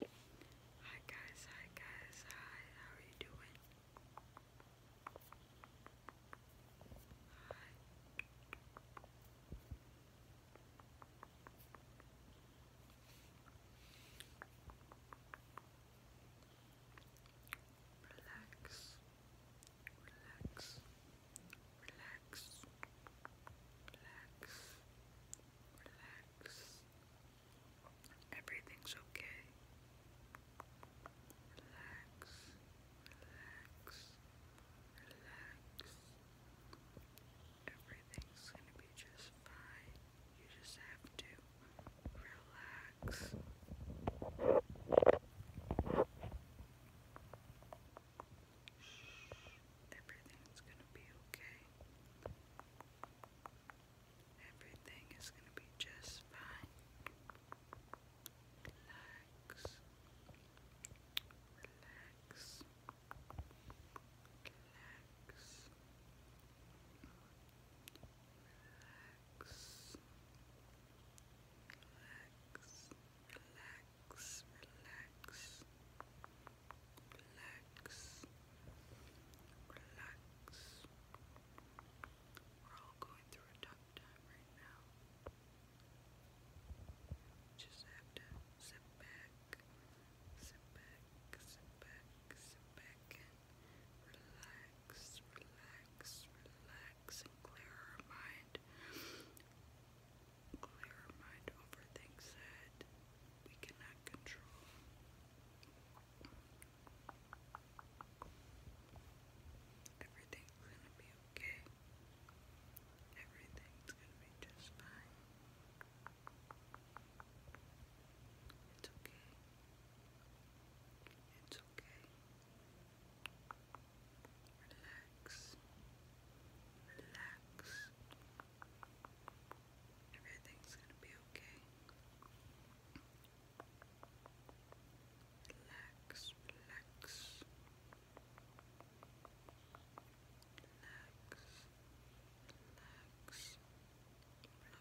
Hi guys, hi guys, hi, how are you doing? Hi. Relax, relax, relax. Relax. Relax. Everything's okay. Relax. Relax. Relax. Everything's gonna be just fine. You just have to relax. Everything's gonna be okay. Everything is gonna be just fine. Relax. Relax. Relax. Relax. Relax. Relax relax, relax, relax, We're all going through a tough time right now. Just have to sit back, sit back, sit back, sit back, and relax, relax, relax, and clear her mind. Clear her mind over things we cannot control. Everything's gonna be okay. Everything's gonna be just fine. It's okay. It's okay. Relax. Relax. Everything's gonna be okay. Relax, relax. Relax, relax. Relax.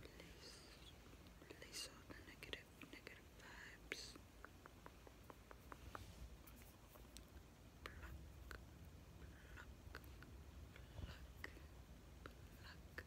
Release, release all the negative, negative vibes. Pluck, pluck, pluck, pluck, pluck, pluck.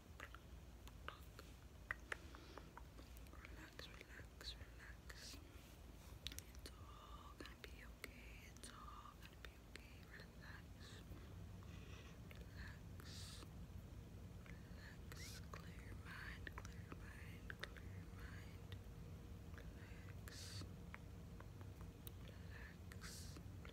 Relax, relax, relax. It's all gonna be okay. It's all gonna be okay. Relax. Relax. Relax. Clear mind. Clear mind. Clear mind. Relax. Relax.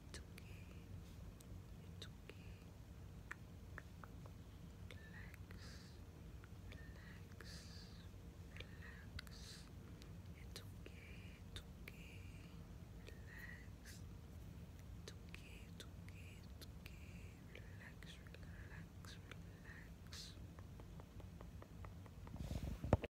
It's okay. It's okay. Relax. Relax. Relax. It's okay. It's okay. Relax. It's okay. It's okay. It's okay. Relax. Relax. Relax.